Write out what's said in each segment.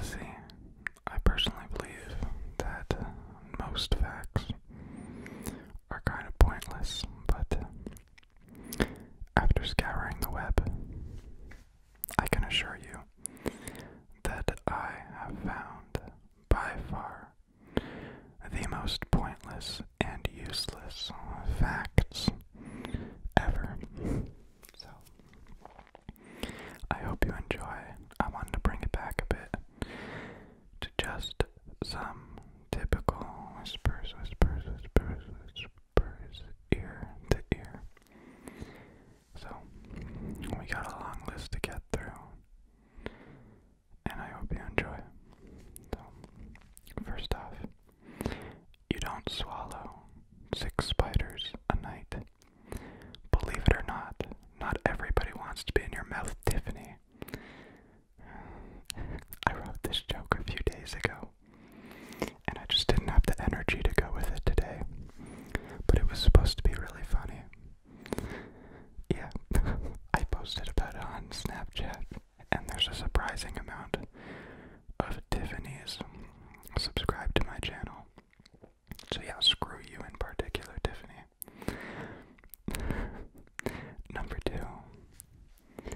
See, I personally believe that most facts are kind of pointless, but after scouring the web, I can assure you that I have found by far the most pointless and useless facts ever. So I hope you enjoy. I wanted to bring it back a bit to just some typical whispers, whispers, whispers, whispers, ear to ear. So we got a long list to get through, and I hope you enjoy. So first off. You don't swallow six spiders a night. Believe it or not, not everybody wants to be in your mouth, Tiffany. I wrote this joke a few days ago, and I just didn't have the energy to go with it today. But it was supposed to be really funny. Yeah, I posted about it on Snapchat and there's a surprising amount of Tiffany's subscribed to my channel. So, yeah, screw you in particular, Tiffany. Number two,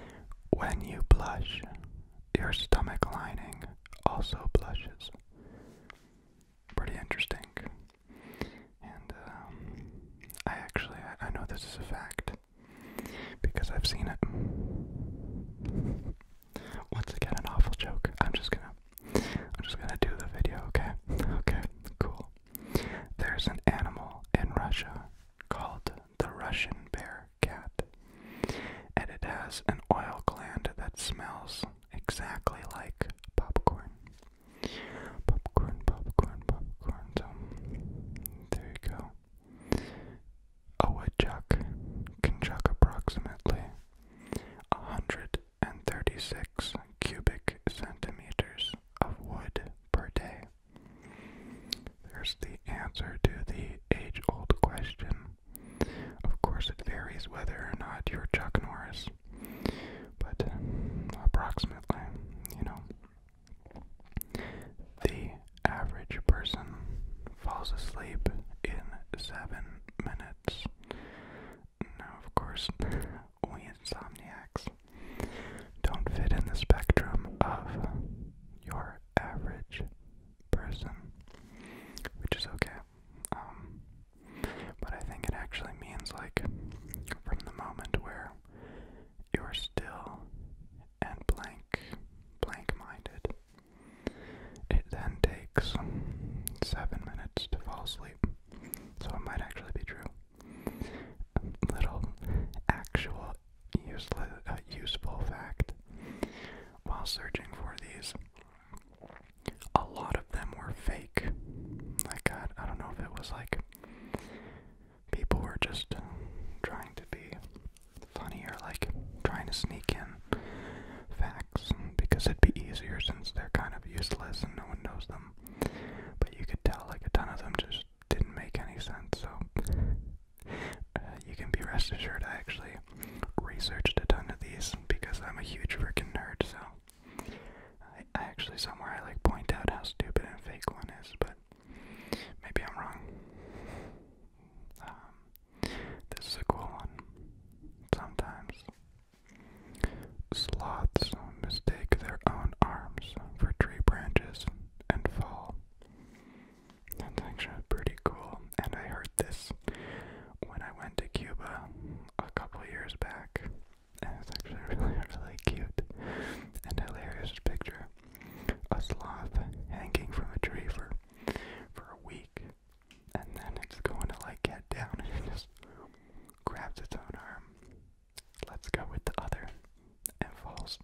when you blush, your stomach lining also blushes. Pretty interesting. And um, I actually, I know this is a fact, because I've seen it. Once again, an awful joke. I'm just gonna, I'm just gonna do the video. Okay, okay, cool. There's an animal in Russia called the Russian bear cat, and it has an oil gland that smells exactly like popcorn. Popcorn, popcorn, popcorn. there you go. A woodchuck can chuck approximately 136 cubic centimeters of wood per day. There's the answer to the age old question. Of course, it varies whether or not you're Chuck Norris, but approximately, you know. The average person falls asleep in seven minutes. Now, of course, we insomniacs don't fit in the spectrum of your average person, which is okay. Um, but I think it actually means, like, from the moment where you are still and blank, blank minded. It then takes seven minutes to fall asleep, so it might actually be true. little actual useful uh, fact. While searching for these, a lot of them were fake. Like, I, I don't know if it was like people were just trying to be funny or like trying to sneak in facts because it'd be easier since they're kind of useless and no one knows them. But you could tell like a ton of them just didn't make any sense. So uh, you can be rest assured I actually researched a ton of these because I'm a huge freaking nerd. So I, I actually somewhere I like point out how stupid and fake one is, but maybe I'm wrong. Um, this is a cool one. Sometimes sloths mistake their own arms for tree branches and fall. That's actually pretty cool. And I heard this when I went to Cuba a couple years back. And it's actually really, really cute and hilarious picture a sloth hanging from a tree for for a week, and then it's going to like get down and just grabs its own arm. Let's go with the other, and falls.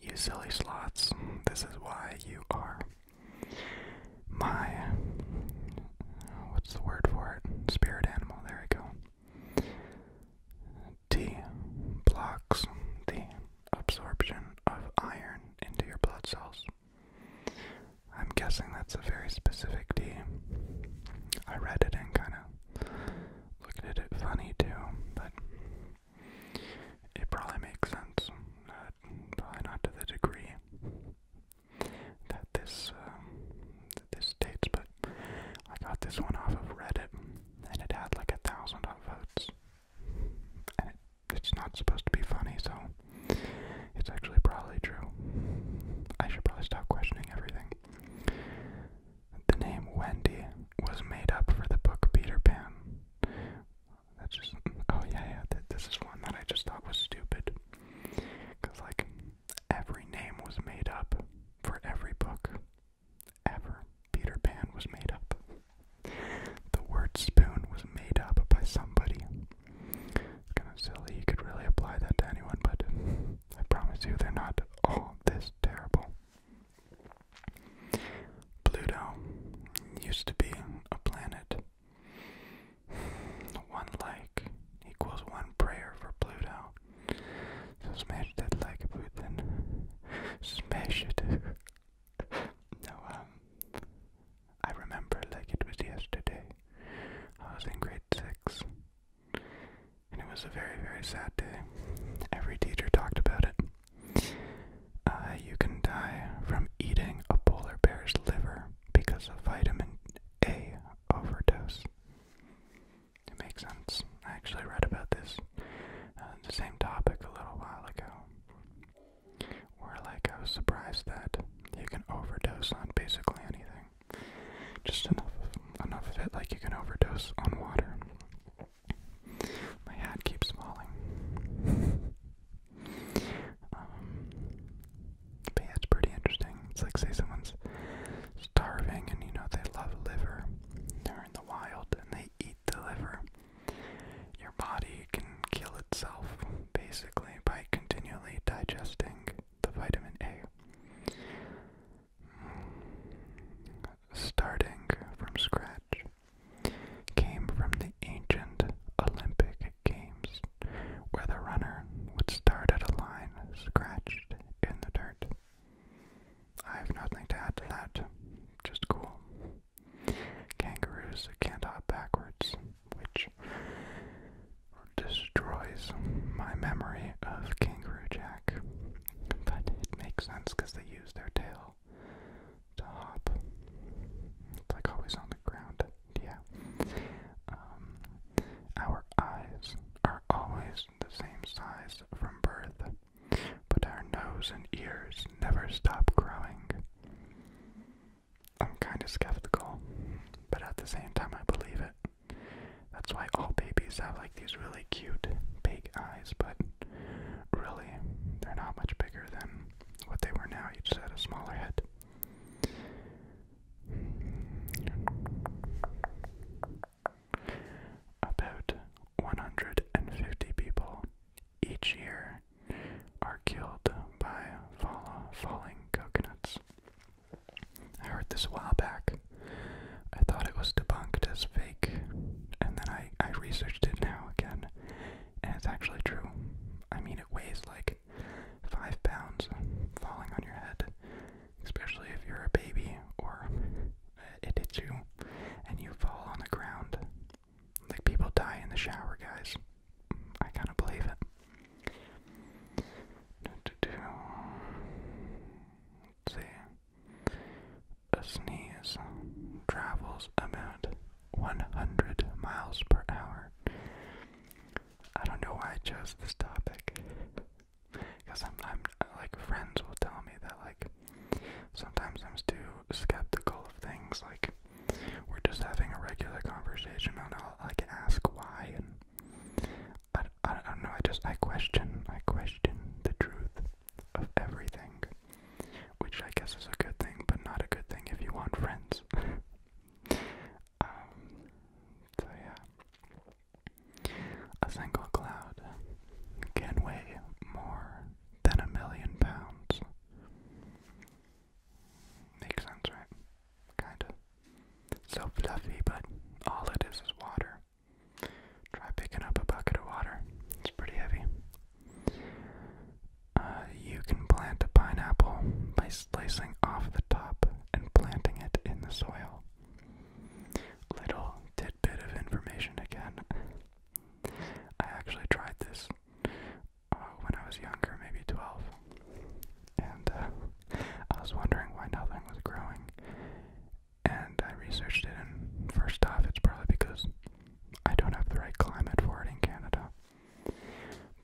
You silly sloths, this is why you are my what's the word for it? Spirit animal. There we go. D blocks the absorption of iron into your blood cells. I'm guessing that's a very specific D. I read it and kind of looked at it funny too, but it probably makes sense. Not, probably not to the degree that this uh, that this states, but I got this one off of Reddit, and it had like a thousand votes. And it's not supposed to be funny, so it's actually probably true. I should probably stop questioning everything. The name Wendy was made up for the book Peter Pan. That's just, oh yeah, yeah, this is one that I just thought was stupid. Because, like, every name was made up for every book ever Peter Pan was made up. The word spoon was made up by somebody. It's kind of silly. You could really apply that to anyone, but I promise you they're not all this terrible. Pluto used to be a planet. One like equals one prayer for Pluto. So smash that like Putin. Smash it no, um, I remember like it was yesterday. I was in grade six, and it was a very, very sad day. Every teacher talked about it. Uh, you can die from eating a polar bear's liver because of vitamin A overdose. It makes sense. I actually read about this, uh, the same topic a little while ago, where like I was surprised that you can overdose on basically anything, just enough enough of it, like you can overdose on water. My hat keeps falling. um, but pretty interesting. It's like say someone's starving and you know they love liver. They're in the wild and they eat the liver. Your body can kill itself basically by continually digesting the vitamin A. Starting from scratch came from the ancient Olympic Games, where the runner would start at a line scratched in the dirt. I have nothing to add to that, just cool. Kangaroos can't hop backwards, which destroys my memory of Kangaroo Jack. But it makes sense because they use their tail to hop. It's like always on the ground. Yeah. Um, our eyes are always the same size from birth but our nose and ears never stop growing. I'm kind of skeptical, but at the same time, I believe it. That's why all babies have like these really cute big eyes, but really, they're not much bigger than what they were now. You just had a smaller head. About 150 people each year are killed by falling coconuts. I heard this a while back. I thought it was debunked as fake, and then I, I researched it now again, and it's actually true. I mean, it weighs like five pounds falling on your head, especially if you're a baby or it hits you and you fall on the ground. Like people die in the shower, guys. I kind of believe it. see. A sneeze travels about 100 miles per hour. I don't know why I chose this topic. Because I'm, I'm, like, friends will tell me that, like, Sometimes I'm too skeptical of things, like we're just having a regular conversation, and I'll like ask why, and I, I, don't know. I just I question I question the truth of everything, which I guess is a good thing, but not a good thing if you want friends. Um, so yeah, a single cloud can weigh more than a million pounds. Makes sense, right? Kinda. So fluffy, but all it is is water. Try picking up a bucket of water. It's pretty heavy. Uh, you can plant a pineapple by slicing off the top and planting it in the soil. Little tidbit of information again. I actually tried this uh, when I was younger, maybe 12, and uh, I was wondering why nothing was growing. And I researched it, and first off, it's probably because I don't have the right climate for it in Canada.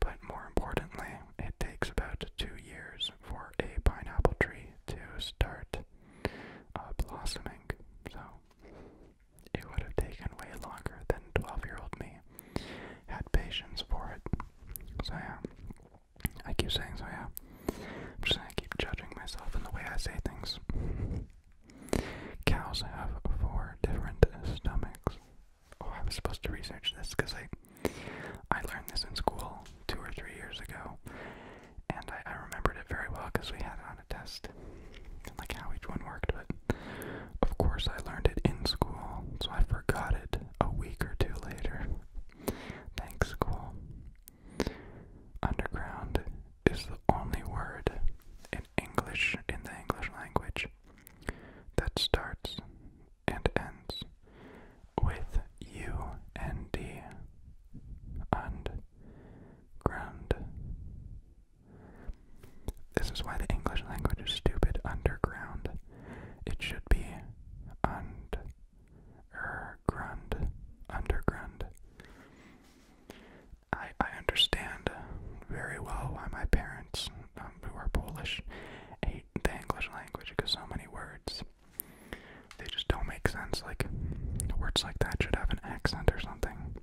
But more importantly, it takes about two years for a pineapple tree to start uh, blossoming. So it would have taken way longer than 12 year old me had patience for it. So, yeah, I keep saying so, yeah. I'm just gonna keep judging myself and the way I say things. Cows have four different stomachs. Oh, I was supposed to research this because I, I learned this in school two or three years ago, and I, I remembered it very well because we had it uh, test like how each one worked, but of course I learned it in school, so I forgot it a week or two later. Thanks, school. Underground is the only word in English, in the English language, that starts and ends with U and D. This is why the English language is stupid. Underground. It should be und er grund. Underground. I I understand very well why my parents, um, who are Polish, hate the English language because so many words they just don't make sense. Like words like that should have an accent or something.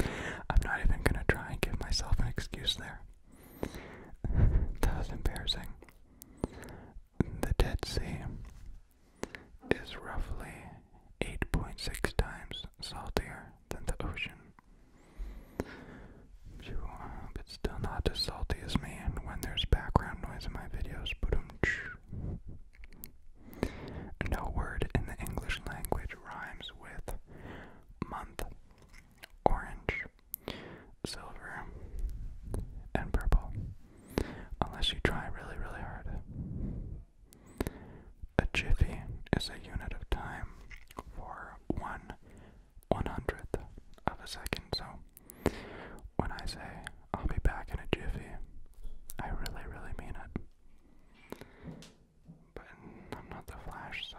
I'm not even gonna try and give myself an excuse there. that was embarrassing. The Dead Sea is roughly 8.6 times saltier than the ocean. It's still not as salty as me, and when there's background noise in my videos, but um, no word in the English language rhymes with month. Orange, silver, and purple. Unless you try really, really hard. A jiffy is a unit of time for one one hundredth of a second. So when I say I'll be back in a jiffy, I really, really mean it. But I'm not the Flash, so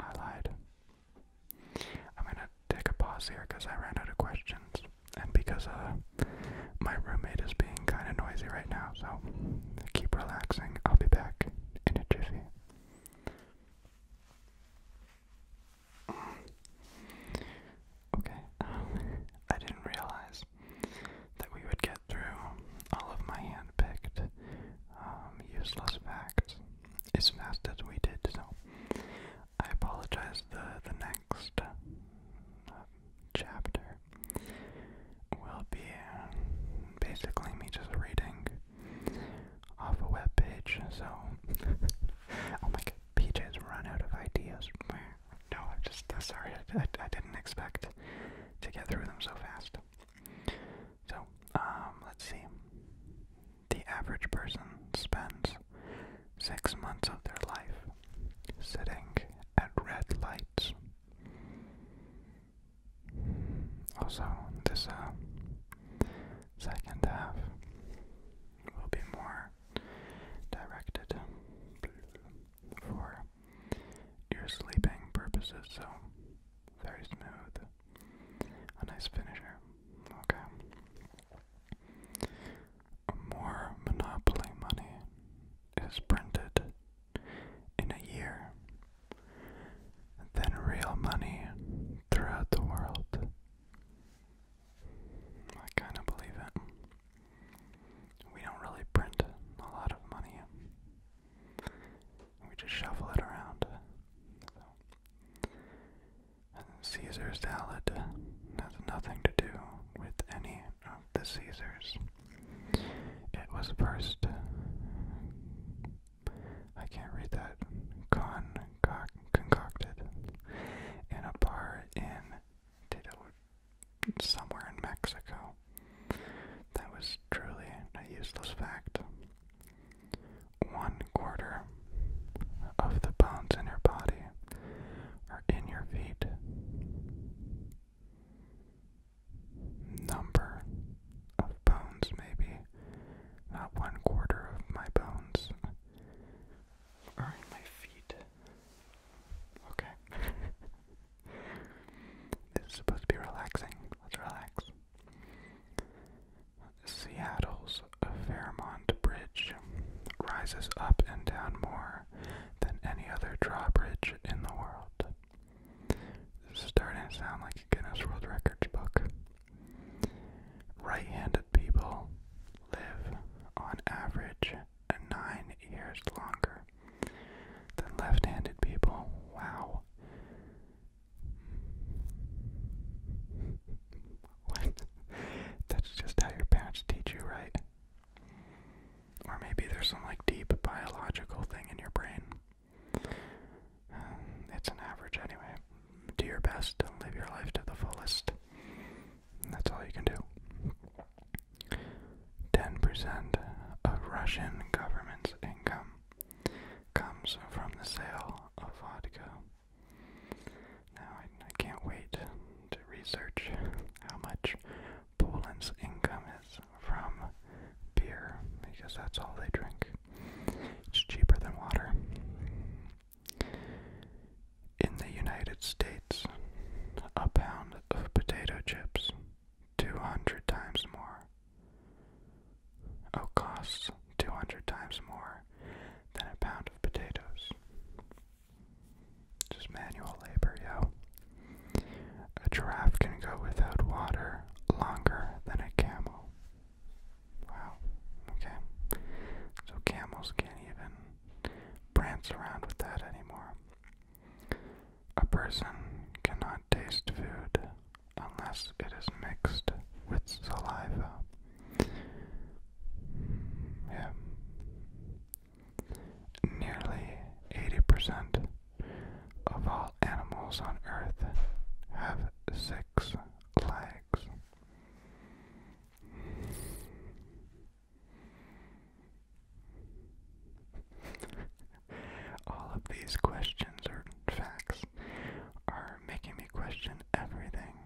I lied. I'm gonna take a pause here because I ran out of questions, and because uh, my roommate is being kind of noisy right now, so keep relaxing. I'll be back in a jiffy. Okay, um, I didn't realize that we would get through all of my hand-picked um, useless facts as fast as we did. So I apologize. The the next uh, chapter will be basically me just reading off a web page. So oh my god, PJ's run out of ideas. No, I'm just uh, sorry. I, didn't expect to get through them so fast. So, um, let's see. The average person spends six months of their life sitting at red lights. Also, this uh, second half will be more directed for your sleeping purposes, so very smooth. A nice finisher. Okay. More Monopoly money is printed in a year than real money throughout the world. I kind of believe it. We don't really print a lot of money. We just shuffle it around. Caesar salad has nothing to do with any of the Caesars. It was first. I can't read that. concocted in a bar in did it somewhere in Mexico. That was truly a useless fact. One quarter of the bones in your body are in your feet. Number of bones, maybe one quarter of my bones are in my feet. Okay. This is supposed to be relaxing. Let's relax. Seattle's Fairmont Bridge rises up and down more than any other drawbridge in the world. starting to sound like a Guinness World Records book. Right handed people live, on average, and nine years longer than left handed people. Wow. What? That's just how your parents teach you, right? Or maybe there's some like deep biological thing in your brain. Um, it's an average anyway. Do your best and live your life to the fullest. That's all you can do. 10% of Russian government's income comes from the sale of vodka. Now, I, can't wait to research how much Poland's income is from beer because that's all they drink. It's cheaper than water. In the United States, a pound of potato chips 200 times more. Oh, costs 200 times more than a pound of potatoes. Just manual labor, yo. A giraffe can go without water longer than a camel. Wow, okay. So camels can't even prance around with that anymore. A person cannot taste food unless it is mixed with saliva. Nearly 80% of all animals on Earth have six legs. All of these questions or facts are making me question everything.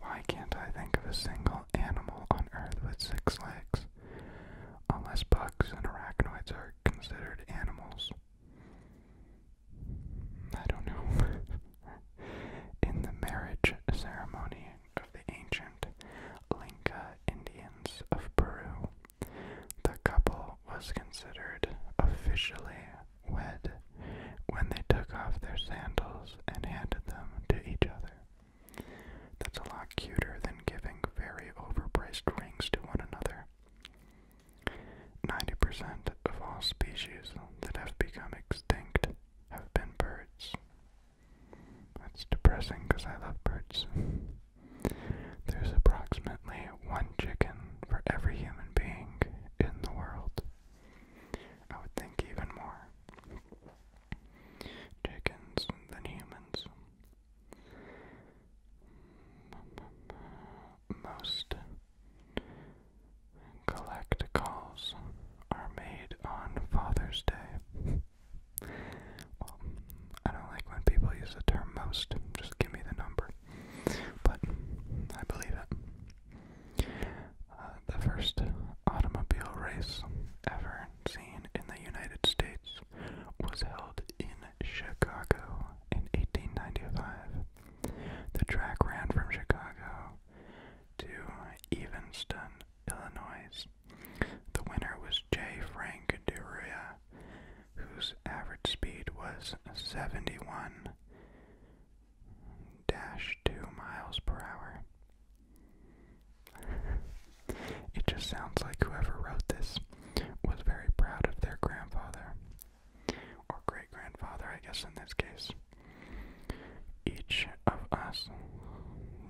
Why can't I think of a single animal on Earth with six legs? Unless bugs and arachnoids are considered animals. I don't know. In the marriage ceremony, of the ancient Linca Indians of Peru. The couple was considered officially wed when they took off their sandals and handed them to each other. That's a lot cuter than giving very overpriced rings to one another. 90% of all species that have become extinct have been birds. That's depressing because I love birds. There's approximately one chicken for every human being in the world. I would think even more. Chickens than humans. Most collect calls are made on Father's Day. Well, I don't like when people use the term most. Just give me the number. But I believe it. Uh, the first automobile race ever seen in the United States was held in Chicago in 1895. The track ran from Chicago to Evanston, Illinois, the winner was J. Frank Deruya, whose average speed was 71 2 miles per hour. it just sounds like whoever wrote this was very proud of their grandfather, or great grandfather, I guess, in this case. Each of us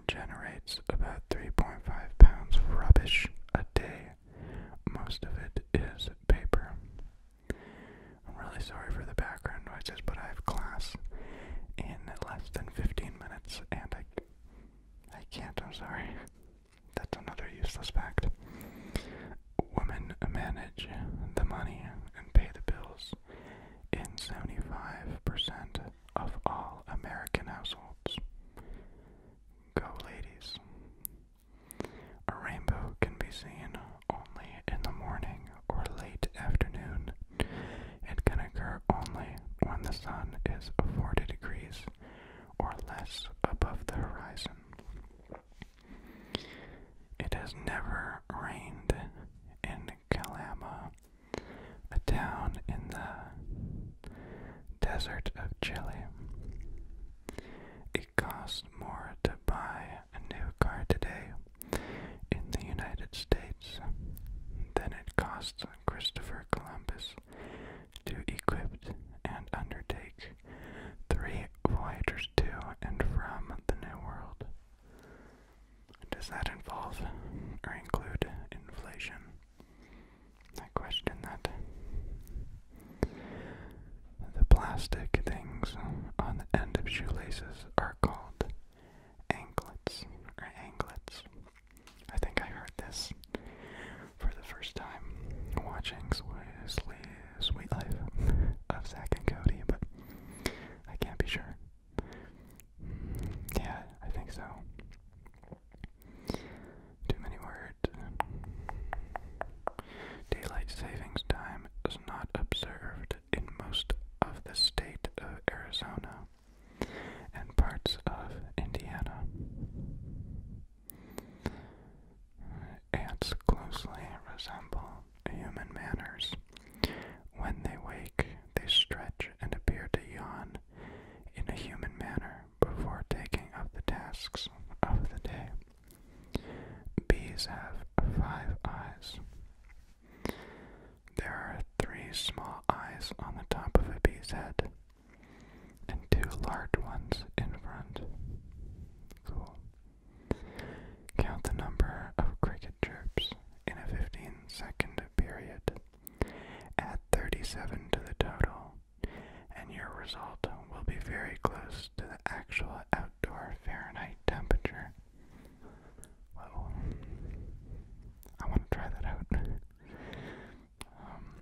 generates about 3.5 pounds of rubbish a day. Most of it is paper. I'm really sorry for the background noises, but I have class in less than 15 minutes and I, I can't, I'm sorry. That's another useless fact. Women manage the money and pay the bills in 75% of all American households. Go, ladies. A rainbow can be seen only in the morning or late afternoon. It can occur only when the sun is 40 degrees or less above the horizon. It has never rained in Calama, a town in the desert of Chile. It costs more to buy a new car today in the United States than it costs Christopher Columbus to equip and undertake three voyagers to and from the New World. Does that involve or include inflation? I question that. The plastic things on the end of shoelaces are called anklets or anglets. I think I heard this for the first time watching Sweet Life of Zach and Cody, but I can't be sure. Yeah, I think so. Too many words. Daylight savings time is not observed in most of the state of Arizona and parts of Indiana. Ants closely resemble human manners. When they wake, they stretch and appear to yawn in a human manner before taking up the tasks of the day. Bees have five eyes. There are three small eyes on the top of a bee's head and two large ones in front. Cool. Count the number of cricket chirps in a 15 second period. Add 37 to the total, and your result will be very close to the actual outdoor Fahrenheit temperature. I want to try that out. Um,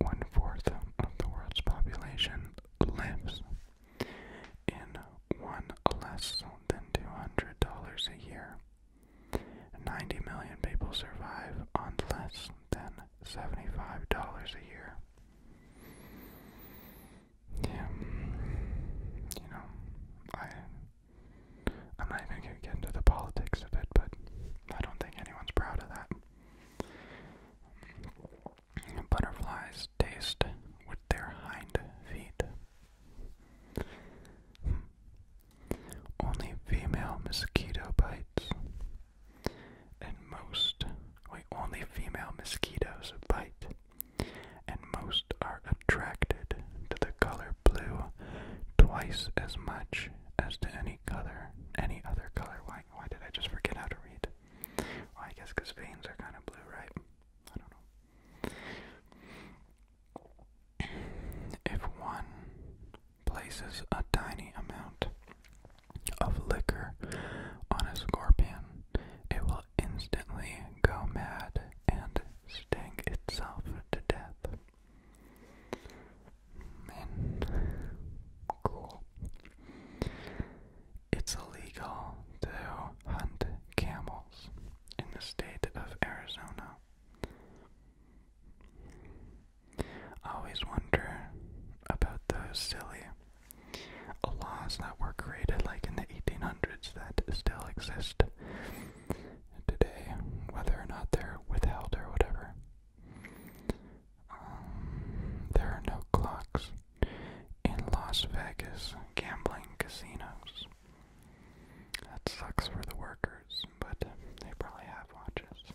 one fourth of the world's population lives in one less than $200 a year. 90 million people survive on less than $75 a year. Yeah, you know, I, I'm not even going to get into the politics of it, but I don't think anyone's proud of that. Butterflies taste with their hind feet. Hmm. Only female mosquito bites. And most, wait, only female mosquitoes bite. And most are attracted to the color blue twice as much as to any color, any other color. Why, why did I just forget how to read? I guess because veins are kind of blue, right? I don't know. If one places a tiny amount of liquor on a scorpion, it will instantly go mad and sting itself to death. cool. It's illegal to hunt camels in the state of Arizona always wonder about those silly laws that were created like in the 1800s that still exist today, whether or not they're withheld or whatever. Um, there are no clocks in Las Vegas gambling casinos. That sucks for the workers, but they probably have watches.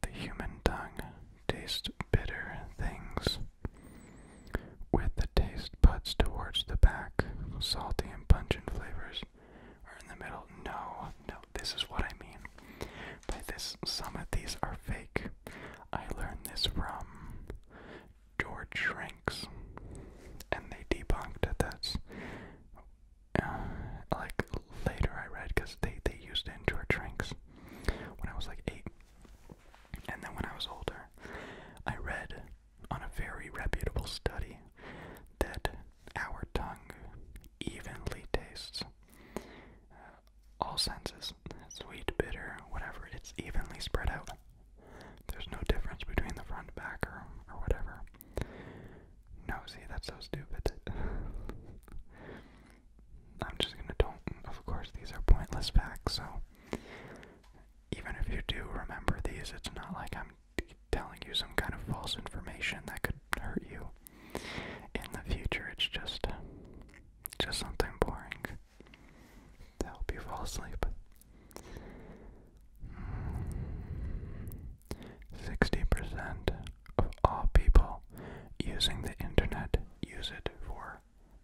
The human tongue tastes bitter things with the taste buds towards the back. Salty and pungent flavors are in the middle. No, no, this is what I mean. By this, some of these are fake. I learned this from George Shrinks, and they debunked this uh, like later I read because they they used it in our drinks when I was like eight, and then when I was older, I read on a very reputable study that our tongue evenly tastes uh, all senses, sweet, bitter, whatever. It's evenly spread out. There's no difference between the front, back, or, or whatever. No, see, that's so stupid. I'm just gonna don't. Of course, these are pointless facts, so even if you do remember these, it's not like I'm telling you some kind of false information that could hurt you in the future. It's just, just something boring to help you fall asleep. 60% of all people using the internet use it for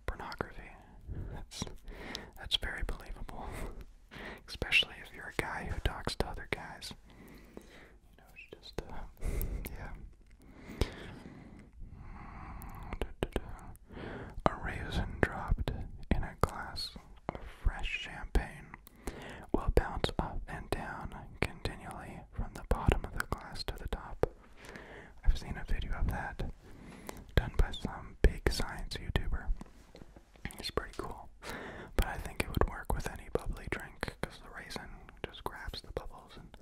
pornography. That's that's very believable. Especially if you're a guy who talks to other guys. You know, it's just uh, yeah. A raisin dropped in a glass of fresh champagne will bounce up and down continually from the bottom of the glass to the top. I've seen a video of that done by some big science YouTuber. It's pretty cool, but I think it would work with any bubbly drink because the raisin just grabs the bubbles and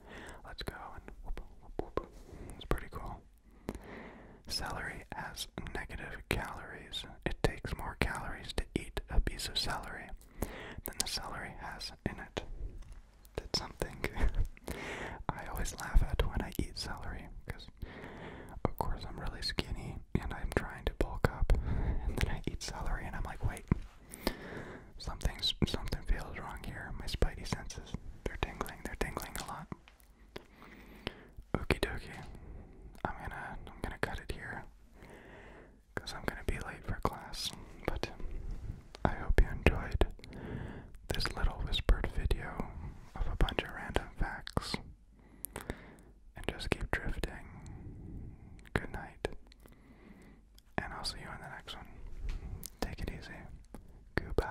let's go and whoop, whoop, whoop. It's pretty cool. Celery has negative calories. It takes more calories to eat a piece of celery than the celery has in it. That's something I always laugh at when I eat celery because, of course, I'm really skinny and I'm trying to bulk up, and then I eat celery and I'm like, wait, something's something feels wrong here. My spidey senses they're tingling. They're tingling a lot. Okey dokey. I'm gonna I'm gonna cut it here because I'm going to be late for class. But I hope you enjoyed this little whispered video of a bunch of random facts. And just keep drifting. Good night. And I'll see you in the next one. Take it easy. Goodbye.